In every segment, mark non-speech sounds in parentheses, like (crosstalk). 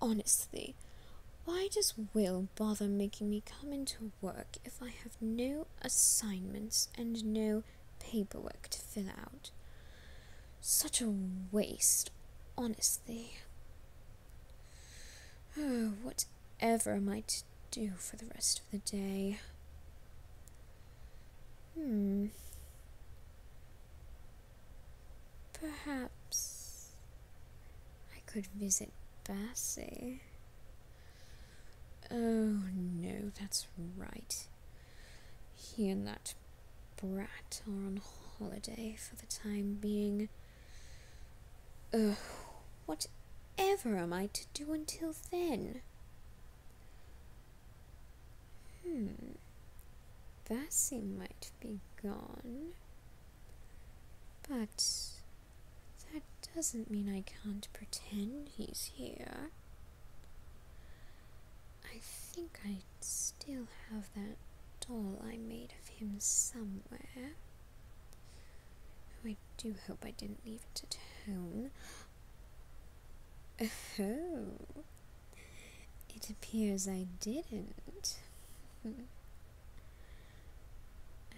Honestly, why does Will bother making me come into work if I have no assignments and no paperwork to fill out? Such a waste, honestly. Oh, whatever am I to do for the rest of the day? Hmm. Perhaps I could visit Bassey. Oh no, that's right. He and that brat are on holiday for the time being. Ugh, oh, whatever am I to do until then? Hmm. Vassie might be gone. But that doesn't mean I can't pretend he's here. I think I still have that doll I made of him somewhere. Oh, I do hope I didn't leave it at home. (laughs) Oh, it appears I didn't. Hmm.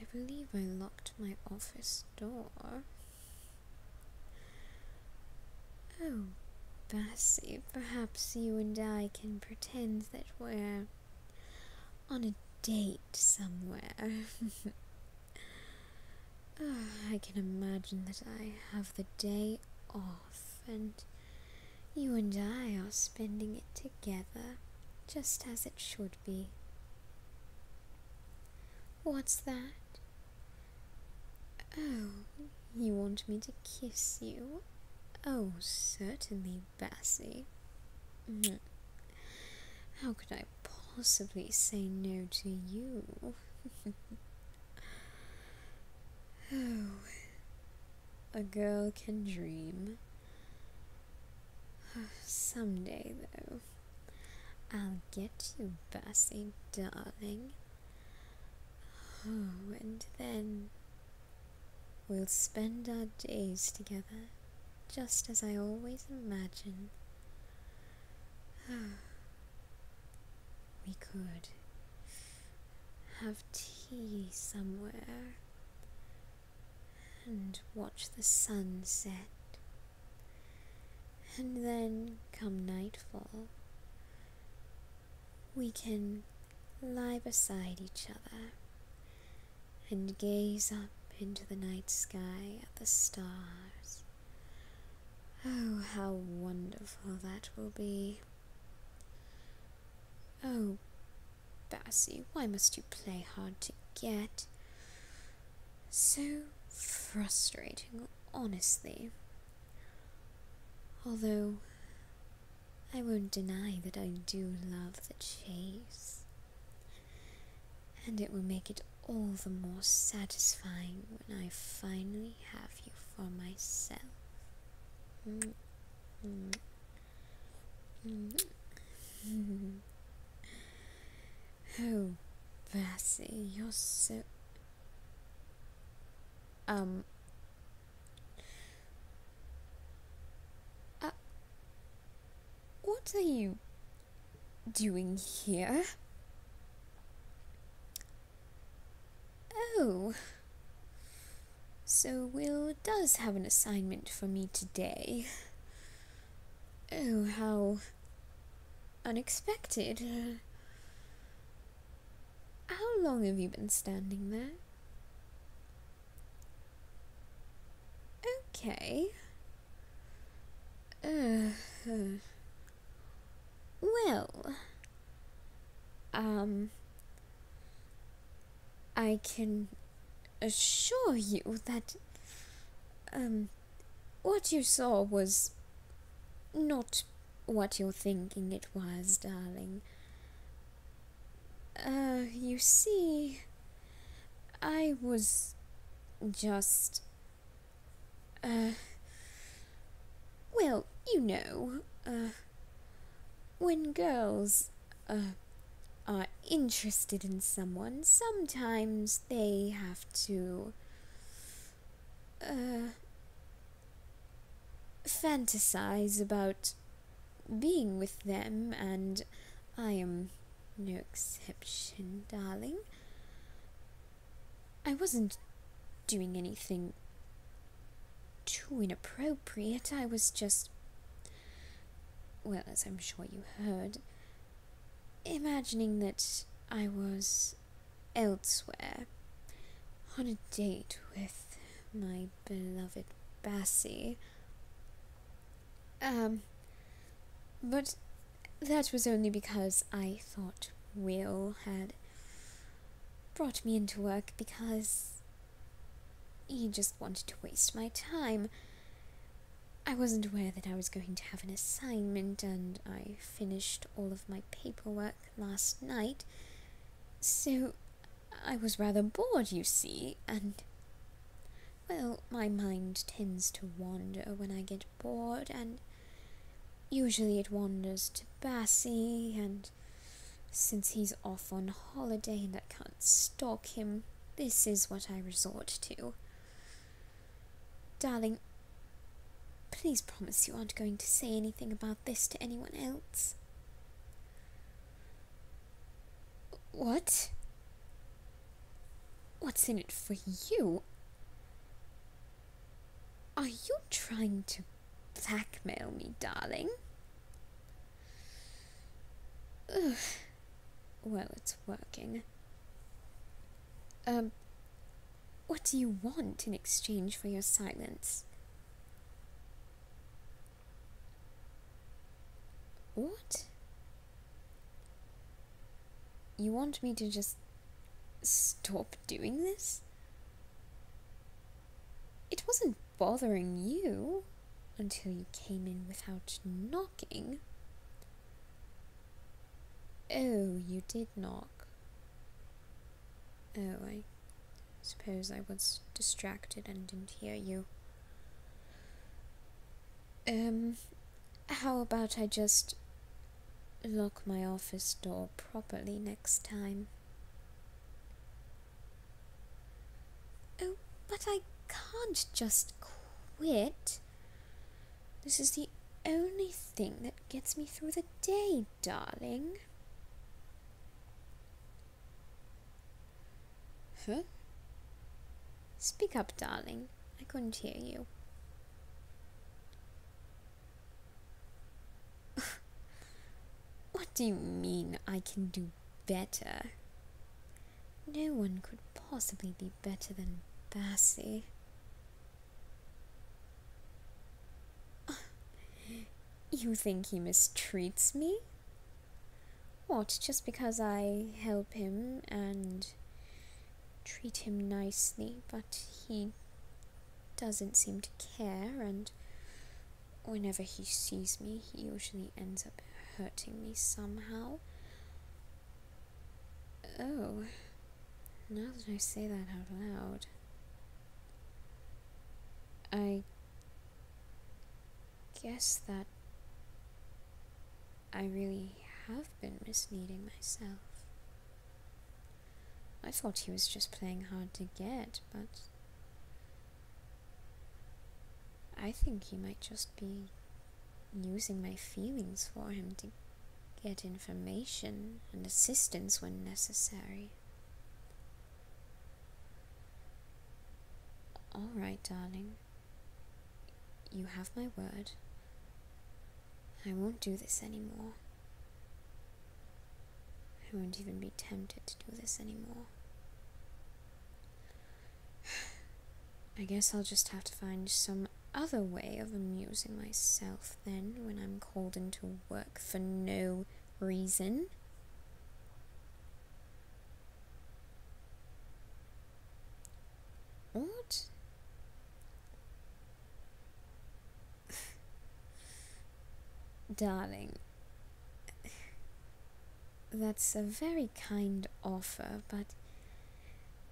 I believe I locked my office door. Oh, Bessie, perhaps you and I can pretend that we're on a date somewhere. (laughs) Ah, I can imagine that I have the day off and you and I are spending it together, just as it should be. What's that? Oh, you want me to kiss you? Oh, certainly, Bessie. Hmm. How could I possibly say no to you? oh, (laughs) a girl can dream. (sighs) Someday, though, I'll get you, Bessie, darling. Oh, (sighs) and then we'll spend our days together, just as I always imagine. (sighs) we could have tea somewhere and watch the sun set. And then, come nightfall, we can lie beside each other and gaze up into the night sky at the stars. Oh, how wonderful that will be! Oh, Bassy, why must you play hard to get? So frustrating, honestly. Although, I won't deny that I do love the chase. And it will make it all the more satisfying when I finally have you for myself. Mm, mm, mm. oh, Bessie, you're so. Um. Uh, what are you doing here? Oh. So Will does have an assignment for me today. Oh, how unexpected. How long have you been standing there? Okay. Uh, well, um, I can assure you that um, what you saw was not what you're thinking it was, darling. Uh, you see, I was just uh, well, you know, uh, when girls uh, are interested in someone, sometimes they have to fantasize about being with them, and I am no exception, darling. I wasn't doing anything too inappropriate. I was just. Well, as I'm sure you heard, imagining that I was elsewhere on a date with my beloved Bassie. Um, but that was only because I thought Will had brought me into work because he just wanted to waste my time. I wasn't aware that I was going to have an assignment, and I finished all of my paperwork last night, so I was rather bored, you see, and well, my mind tends to wander when I get bored, and Usually it wanders to Bassie, and since he's off on holiday and I can't stalk him, this is what I resort to. Darling, please promise you aren't going to say anything about this to anyone else. What? What's in it for you? Are you trying to blackmail me, darling? Ugh. Well, it's working. Um, what do you want in exchange for your silence? What? You want me to just Stop doing this? It wasn't bothering you until you came in without knocking. Oh, you did knock. Oh, I suppose I was distracted and didn't hear you. Um, how about I just lock my office door properly next time. Oh, but I can't just quit. This is the only thing that gets me through the day, darling. Huh? Speak up, darling. I couldn't hear you. (laughs) what do you mean I can do better? No one could possibly be better than Bassie. (sighs) You think he mistreats me? What, just because I help him and treat him nicely, but he doesn't seem to care, and whenever he sees me, he usually ends up hurting me somehow. Oh, now that I say that out loud, I guess that I really have been misleading myself. I thought he was just playing hard to get, but I think he might just be using my feelings for him to get information and assistance when necessary. All right, darling. You have my word. I won't do this anymore. I won't even be tempted to do this anymore. (sighs) I guess I'll just have to find some other way of amusing myself then when I'm called into work for no reason. What? Darling, that's a very kind offer, but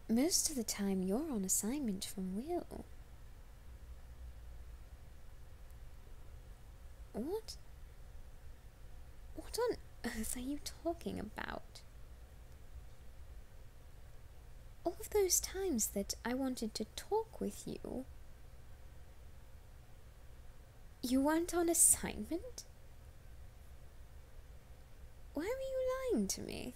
most of the time you're on assignment from Will. What? What on earth are you talking about? all of those times that I wanted to talk with you, you weren't on assignment? Why were you lying to me?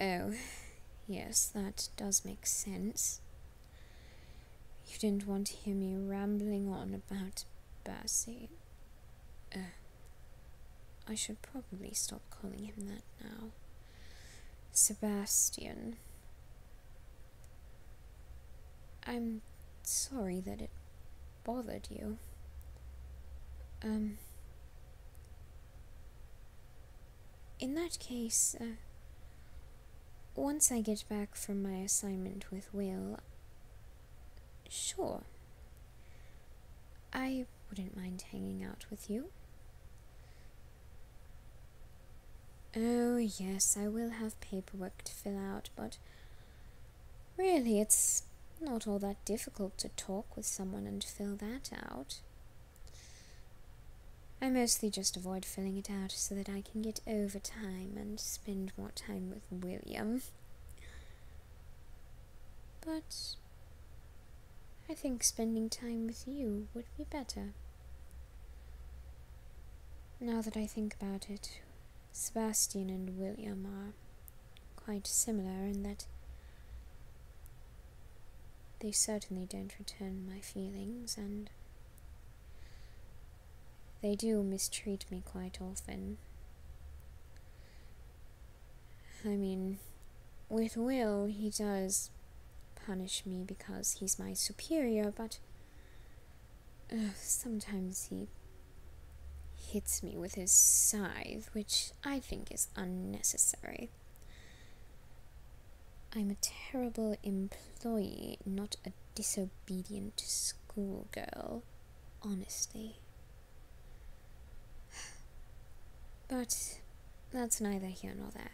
Oh, yes, that does make sense. You didn't want to hear me rambling on about Bessie. Uh, I should probably stop calling him that now. Sebastian. I'm sorry that it bothered you. Um. In that case, uh, once I get back from my assignment with Will, Sure. I wouldn't mind hanging out with you. Oh, yes, I will have paperwork to fill out, but really, it's not all that difficult to talk with someone and fill that out. I mostly just avoid filling it out so that I can get overtime and spend more time with William. But I think spending time with you would be better. Now that I think about it, Sebastian and William are quite similar in that they certainly don't return my feelings, and they do mistreat me quite often. I mean, with Will, he does punish me because he's my superior, but uh, sometimes he hits me with his scythe, which I think is unnecessary. I'm a terrible employee, not a disobedient schoolgirl honesty. But that's neither here nor there.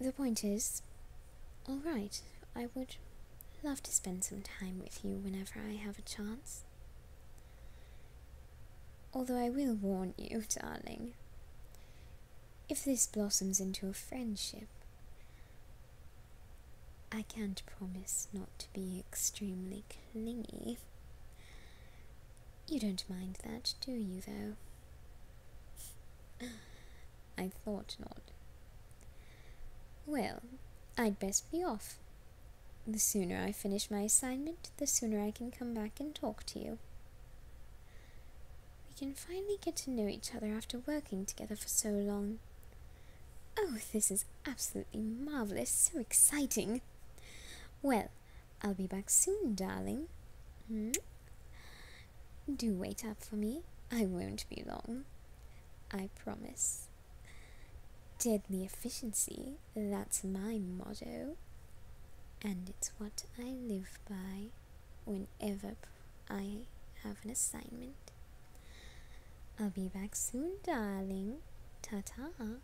The point is, alright, I would love to spend some time with you whenever I have a chance. Although I will warn you, (laughs) darling, if this blossoms into a friendship, I can't promise not to be extremely clingy. You don't mind that, do you, though? (laughs) I thought not. Well, I'd best be off. The sooner I finish my assignment, the sooner I can come back and talk to you. We can finally get to know each other after working together for so long. Oh, this is absolutely marvellous, so exciting. Well, I'll be back soon, darling. Hmm? Do wait up for me. I won't be long. I promise. Deadly efficiency, that's my motto. And it's what I live by whenever I have an assignment. I'll be back soon, darling. Ta ta.